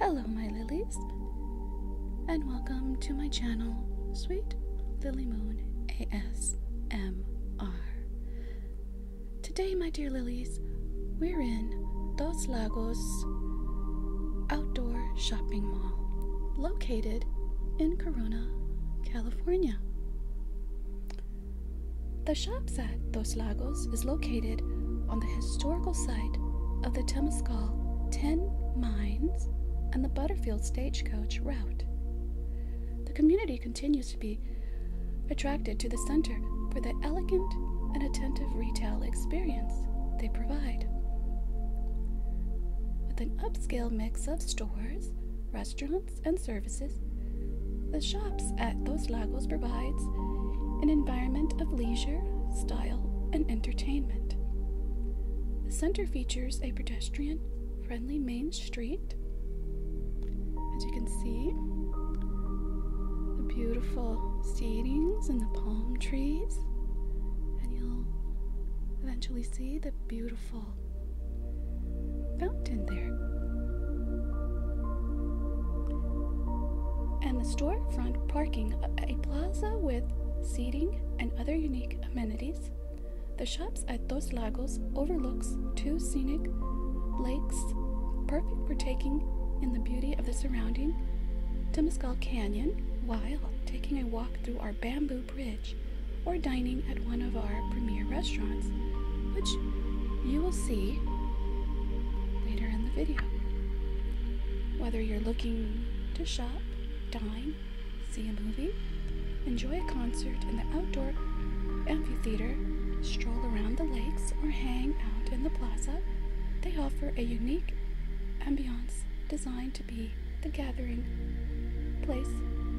Hello, my lilies, and welcome to my channel, Sweet Lily Moon ASMR. Today, my dear lilies, we're in Dos Lagos Outdoor Shopping Mall, located in Corona, California. The shops at Dos Lagos is located on the historical site of the Temescal 10 Mines and the Butterfield Stagecoach route. The community continues to be attracted to the center for the elegant and attentive retail experience they provide. With an upscale mix of stores, restaurants, and services, the shops at those Lagos provides an environment of leisure, style, and entertainment. The center features a pedestrian friendly main street. As you can see, the beautiful seedings and the palm trees, and you'll eventually see the beautiful fountain there. And the storefront parking, a plaza with seating and other unique amenities. The shops at Dos Lagos overlooks two scenic lakes, perfect for taking in the beauty of the surrounding Temescal Canyon while taking a walk through our bamboo bridge or dining at one of our premier restaurants, which you will see later in the video. Whether you're looking to shop, dine, see a movie, enjoy a concert in the outdoor amphitheater, stroll around the lakes, or hang out in the plaza, they offer a unique ambiance designed to be the gathering place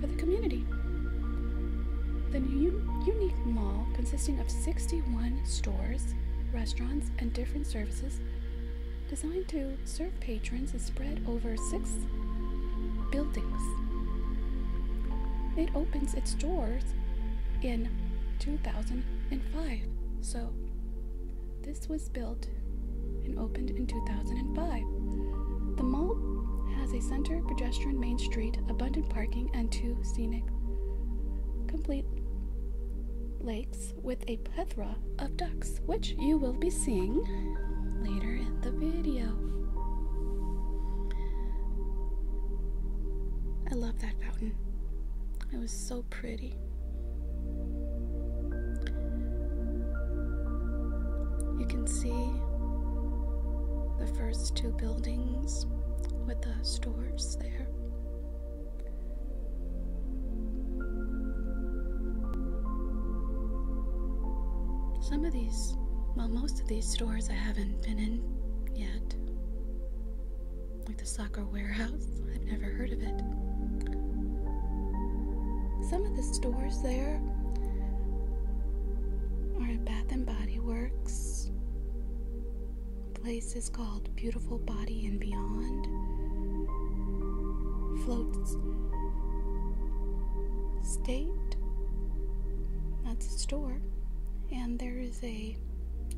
for the community. The new unique mall, consisting of 61 stores, restaurants, and different services, designed to serve patrons, is spread over six buildings. It opens its doors in 2005. So, this was built and opened in 2005. The mall has a center, pedestrian main street, abundant parking, and two scenic, complete lakes with a plethora of ducks, which you will be seeing later in the video. I love that fountain. It was so pretty. You can see the first two buildings with the stores there. Some of these, well, most of these stores I haven't been in yet. Like the soccer warehouse, I've never heard of it. Some of the stores there are Bath and Body Works, a place is called Beautiful Body and Beyond. Floats State. That's a store. And there is a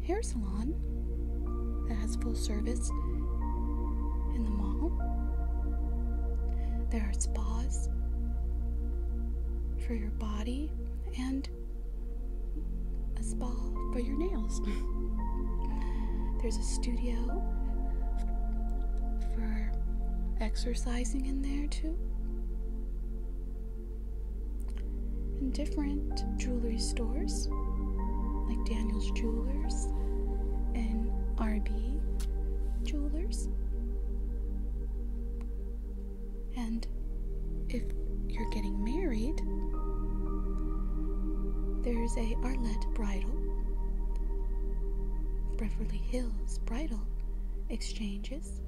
hair salon that has full service in the mall. There are spas for your body and a spa for your nails. There's a studio for exercising in there too. And different jewelry stores like Daniel's Jewelers and RB Jewelers. And if you're getting married, there's a Arlette Bridal, Beverly Hills Bridal Exchanges.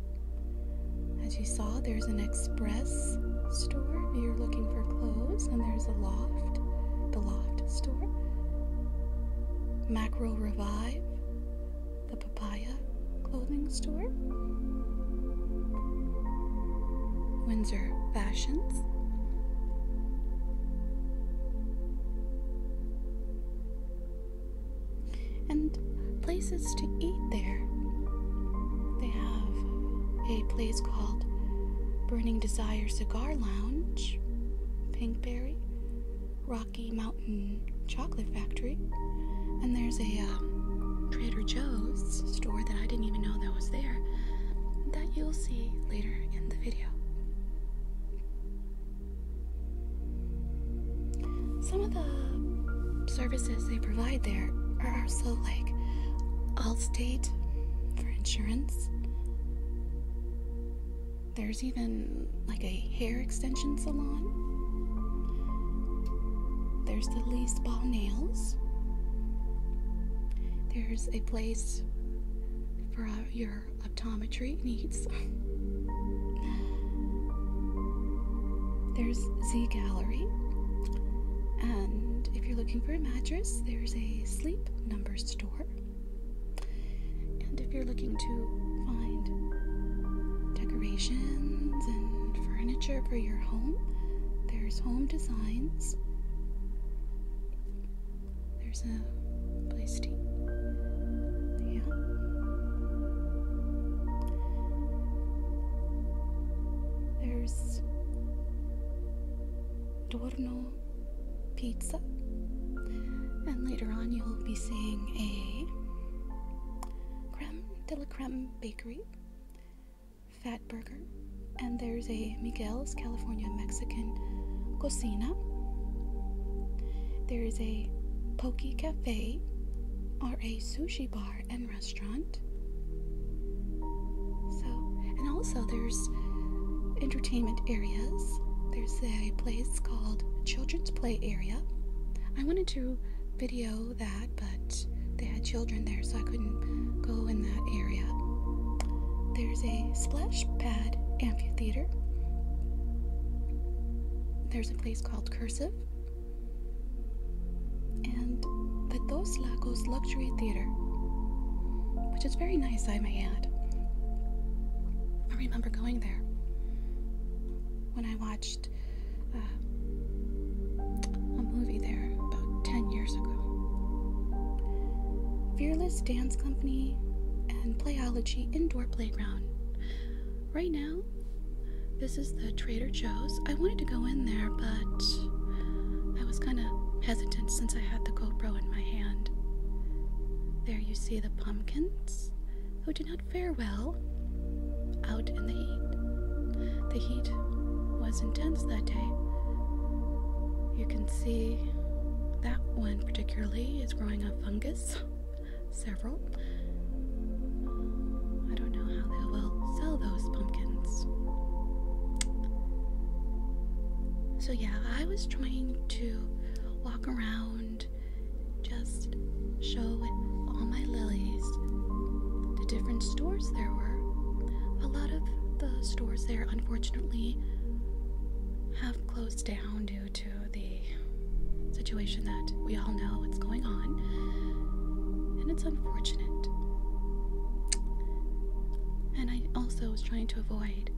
As you saw, there's an express store if you're looking for clothes, and there's a loft, the loft store. Mackerel Revive, the Papaya clothing store, Windsor Fashions. And places to eat there. They have a place called Burning Desire Cigar Lounge, Pinkberry, Rocky Mountain Chocolate Factory, and there's a um, Trader Joe's store that I didn't even know that was there that you'll see later in the video. Some of the services they provide there are also like Allstate for insurance. There's even like a hair extension salon. There's the least ball Nails. There's a place for uh, your optometry needs. there's Z Gallery. And if you're looking for a mattress, there's a sleep number store. And if you're looking to find decorations and furniture for your home, there's Home Designs. There's a place to yeah. There's Dorno Pizza. And later on, you'll be seeing a Creme de la Creme Bakery, Fat Burger, and there's a Miguel's California Mexican Cocina. There is a Pokey Cafe, or a sushi bar and restaurant. So, and also there's entertainment areas. There's a place called Children's Play Area. I wanted to video that, but they had children there, so I couldn't go in that area. There's a splash pad amphitheater. There's a place called Cursive. And the Dos Lagos Luxury Theater, which is very nice, I may add. I remember going there when I watched uh, a movie there about 10 years ago. Fearless Dance Company and Playology Indoor Playground. Right now, this is the Trader Joe's. I wanted to go in there, but I was kind of hesitant since I had the GoPro in my hand. There you see the pumpkins who oh, did not farewell out in the heat. The heat was intense that day. You can see that one particularly is growing a fungus, several. I don't know how they will sell those pumpkins. So, yeah, I was trying to walk around just show all my lilies the different stores there were. A lot of the stores there, unfortunately, have closed down due to the situation that we all know what's going on, and it's unfortunate. And I also was trying to avoid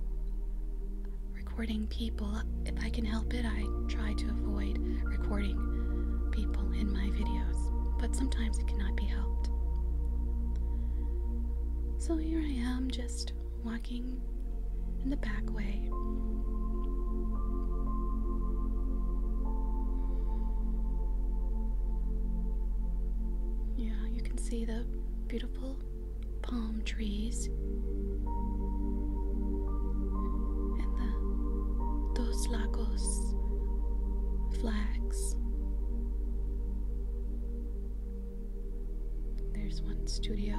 recording people. If I can help it, I try to avoid recording people in my videos, but sometimes it cannot be helped. So here I am, just walking in the back way. Yeah, you can see the beautiful palm trees and the Dos Lagos flags. There's one studio.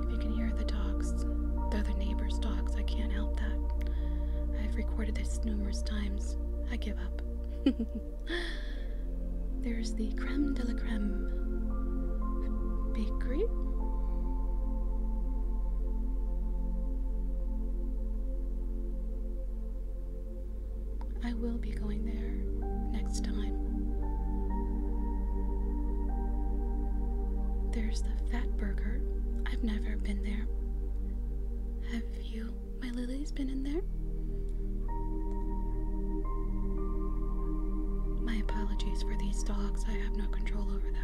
If you can hear the dogs, the other neighbors' dogs, I can't help that. I've recorded this numerous times. I give up. There's the creme de la creme bakery. I will be going there next time. There's the Fat Burger. I've never been there. Have you, my Lily's been in there? My apologies for these dogs. I have no control over that.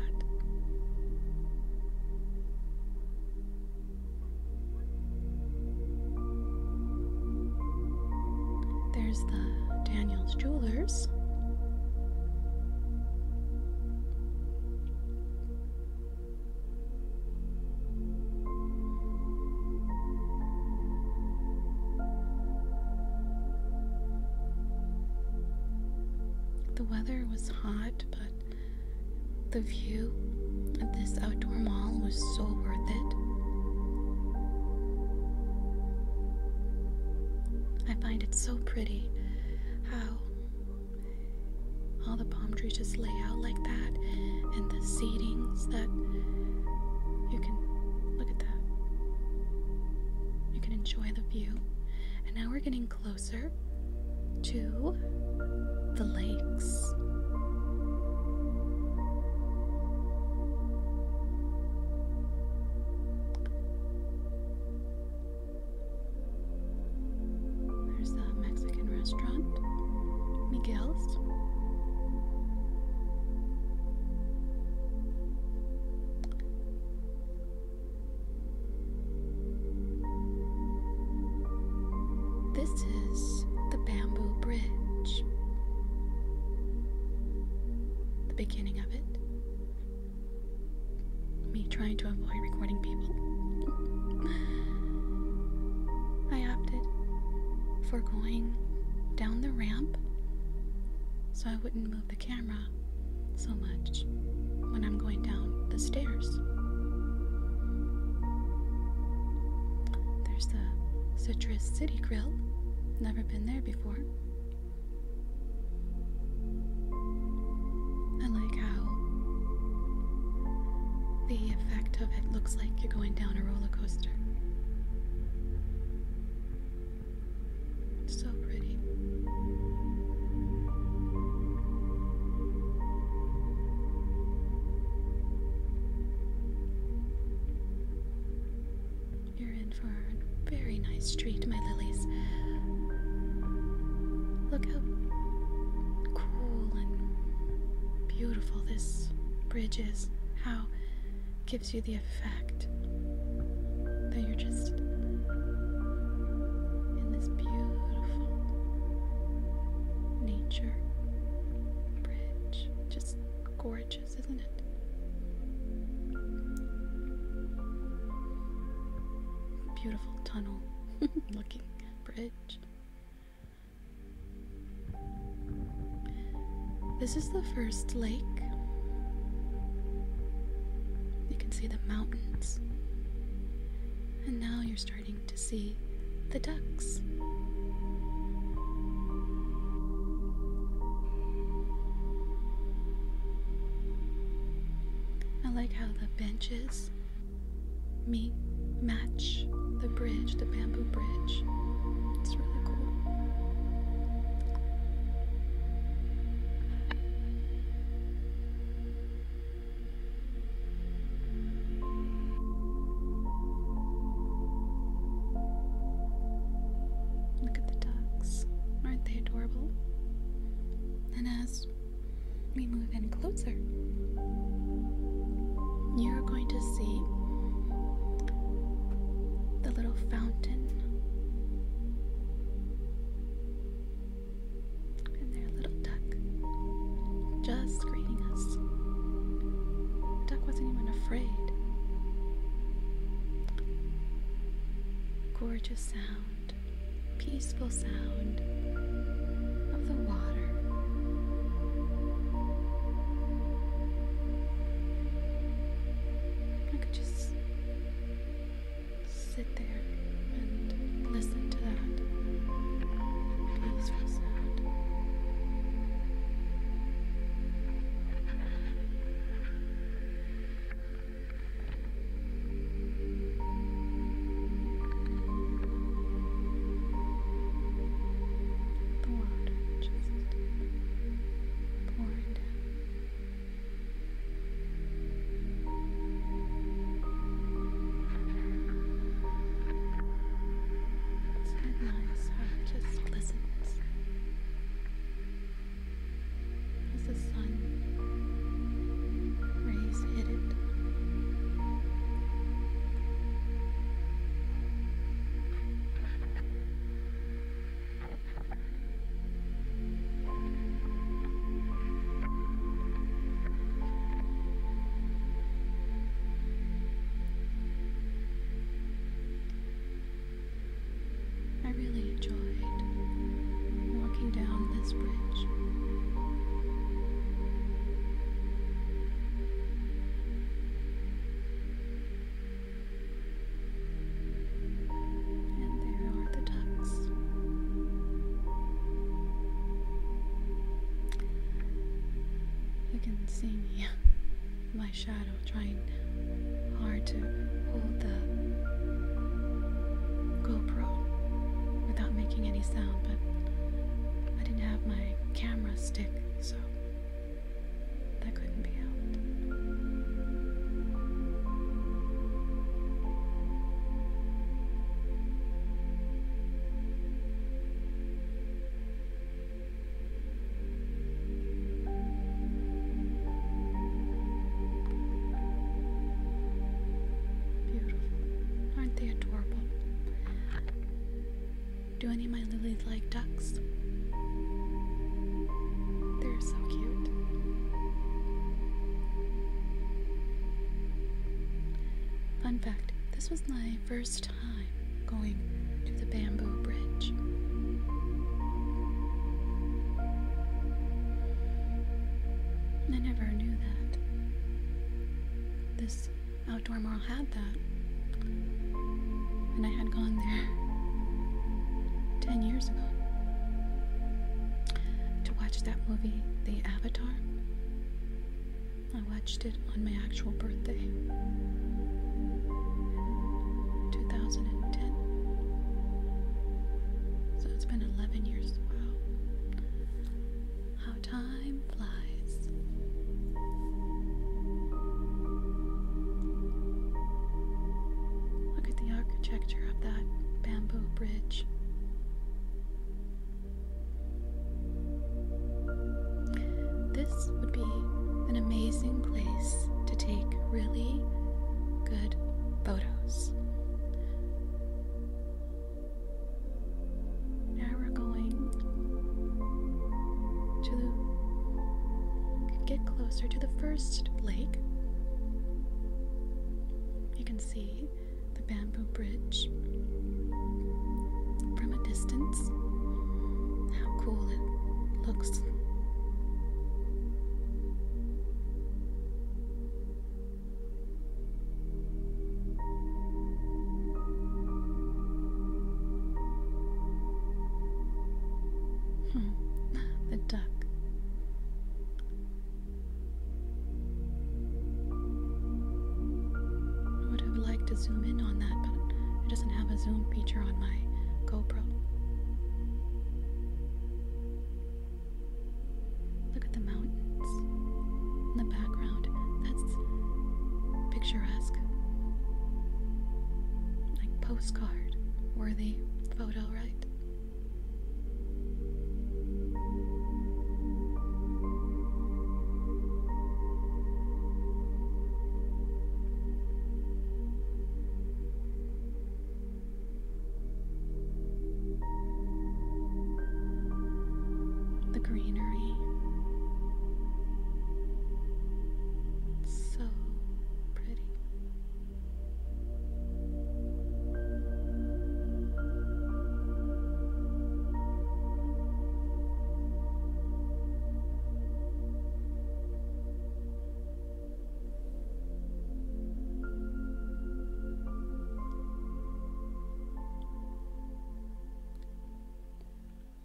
There's the Daniels Jewelers. The weather was hot, but the view of this outdoor mall was so worth it. I find it so pretty how all the palm trees just lay out like that, and the seedings that you can look at that. You can enjoy the view. And now we're getting closer to the lakes. There's that Mexican restaurant, Miguel's. This is the bamboo bridge, the beginning of it. Me trying to avoid recording people. I opted for going down the ramp so I wouldn't move the camera so much when I'm going down the stairs. There's the Citrus City Grill. Never been there before. I like how the effect of it looks like you're going down a roller coaster. so pretty. You're in for a very nice street, my lilies. Look how cool and beautiful this bridge is. How gives you the effect that you're just in this beautiful nature bridge. Just gorgeous isn't it? Beautiful tunnel looking bridge. This is the first lake. You can see the mountains. And now you're starting to see the ducks. I like how the benches meet, match the bridge, the bamboo bridge. It's really cool. Look at the Aren't they adorable? And as we move in closer, you're going to see the little fountain and their little duck just greeting us. The duck wasn't even afraid gorgeous sound, peaceful sound of the water. I could just sit there and listen to that peaceful sound. The water just pouring down. So nice how it just glistens as the sun rays hit it. I really enjoyed walking down this bridge. And there are the ducks. You can see me. my shadow, trying hard to hold the GoPro without making any sound, but I didn't have my camera stick, so that couldn't be helped. Beautiful. Aren't they adorable? Do any of my lilies like ducks? They're so cute. Fun fact this was my first time going to the bamboo bridge. I never knew that. This outdoor mall had that. And I had gone there 10 years ago to watch that movie, The Avatar. I watched it on my actual birthday. 2010. So it's been 11 years. Wow. How time flies. Look at the architecture of that bamboo bridge this would be an amazing place to take really good photos. Now we're going to get closer to the first lake. You can see the bamboo bridge from a distance. How cool it looks. Hmm, the duck. would have liked to zoom in on that, but it doesn't have a zoom feature on my GoPro. Look at the mountains in the background. That's picturesque. Like postcard worthy photo, right? The greenery. so pretty.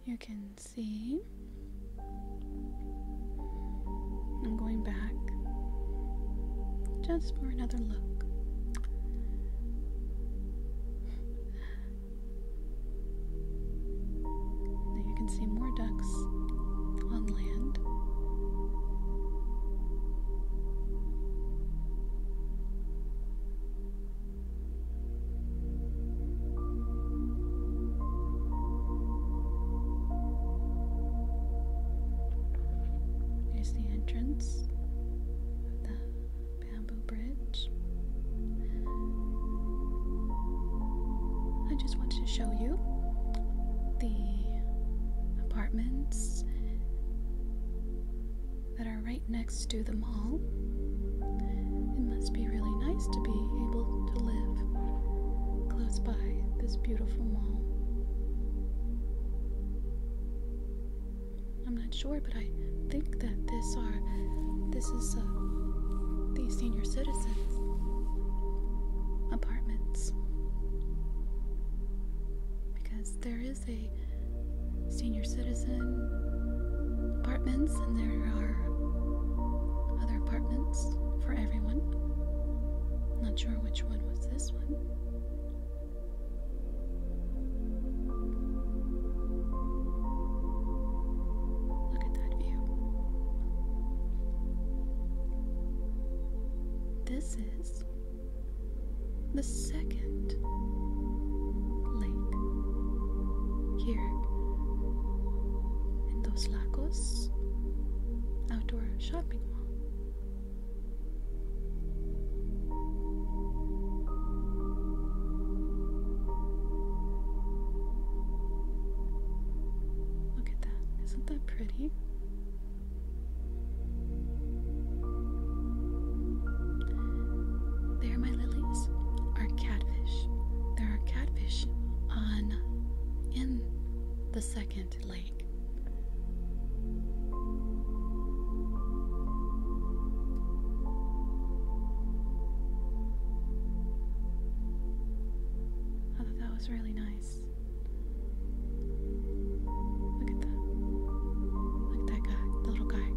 You can see I'm going back just for another look. Now you can see more ducks on land. Here's the entrance of the bamboo bridge. I just wanted to show you the apartments that are right next to the mall. It must be really nice to be able to live close by this beautiful mall. I'm not sure, but I think that this this are this is uh, the senior citizens apartments because there is a senior citizen apartments and there are other apartments for everyone not sure which one was this one Look at that view. This is the second lake here in Dos Lagos outdoor shopping mall. Look at that. Isn't that pretty? There, my lilies, are catfish. There are catfish on in the second lake. I thought that was really nice. Look at that. Look at that guy, the little guy.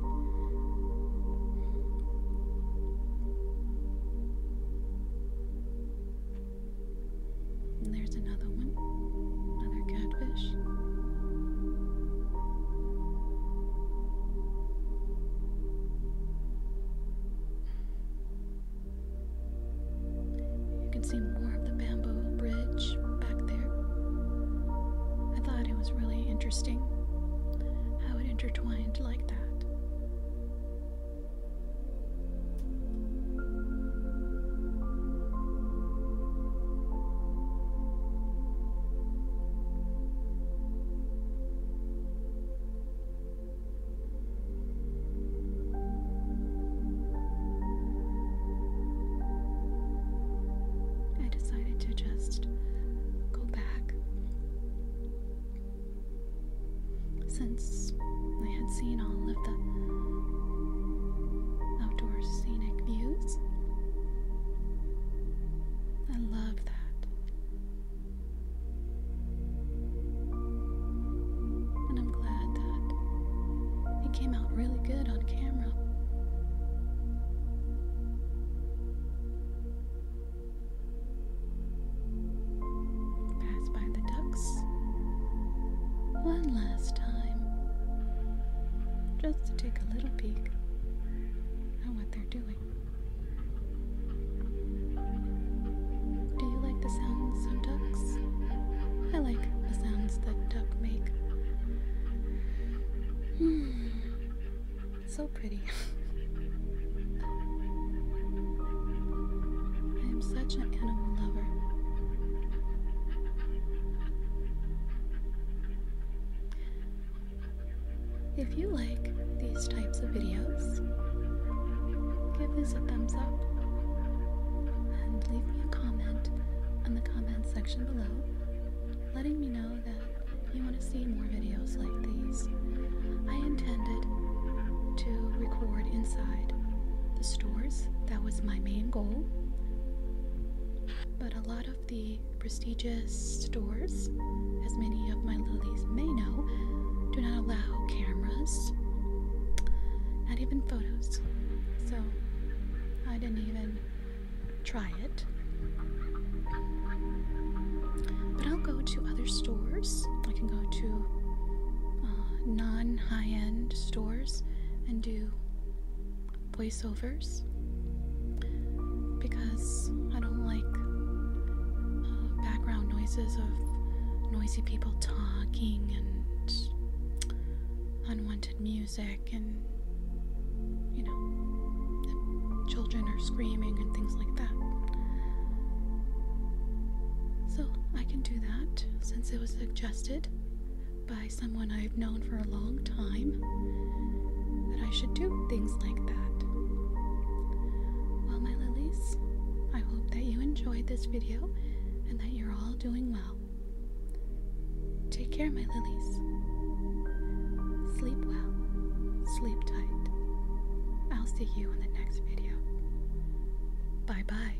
there's another one, another catfish. You can see more of the bamboo bridge back there. I thought it was really interesting how it intertwined like that. I decided to just go back since I had seen all of the outdoor scenic views. I love that. And I'm glad that it came out really good on camera. Pass by the ducks one last time just to take a little peek at what they're doing. Do you like the sounds of ducks? I like the sounds that duck make. Hmm. So pretty. I am such an animal lover. If you like these types of videos, give this a thumbs up and leave me a comment in the comments section below letting me know that you want to see more videos like these. I intended to record inside the stores, that was my main goal, but a lot of the prestigious stores, as many of my lilies may know, do not allow cameras, not even photos. So I didn't even try it. But I'll go to other stores. I can go to uh, non high end stores and do voiceovers because I don't like uh, background noises of noisy people talking and unwanted music and you know children are screaming and things like that. So I can do that since it was suggested by someone I've known for a long time that I should do things like that. Well, my lilies, I hope that you enjoyed this video and that you're all doing well. Take care, my lilies. Sleep well, sleep tight. I'll see you in the next video. Bye bye.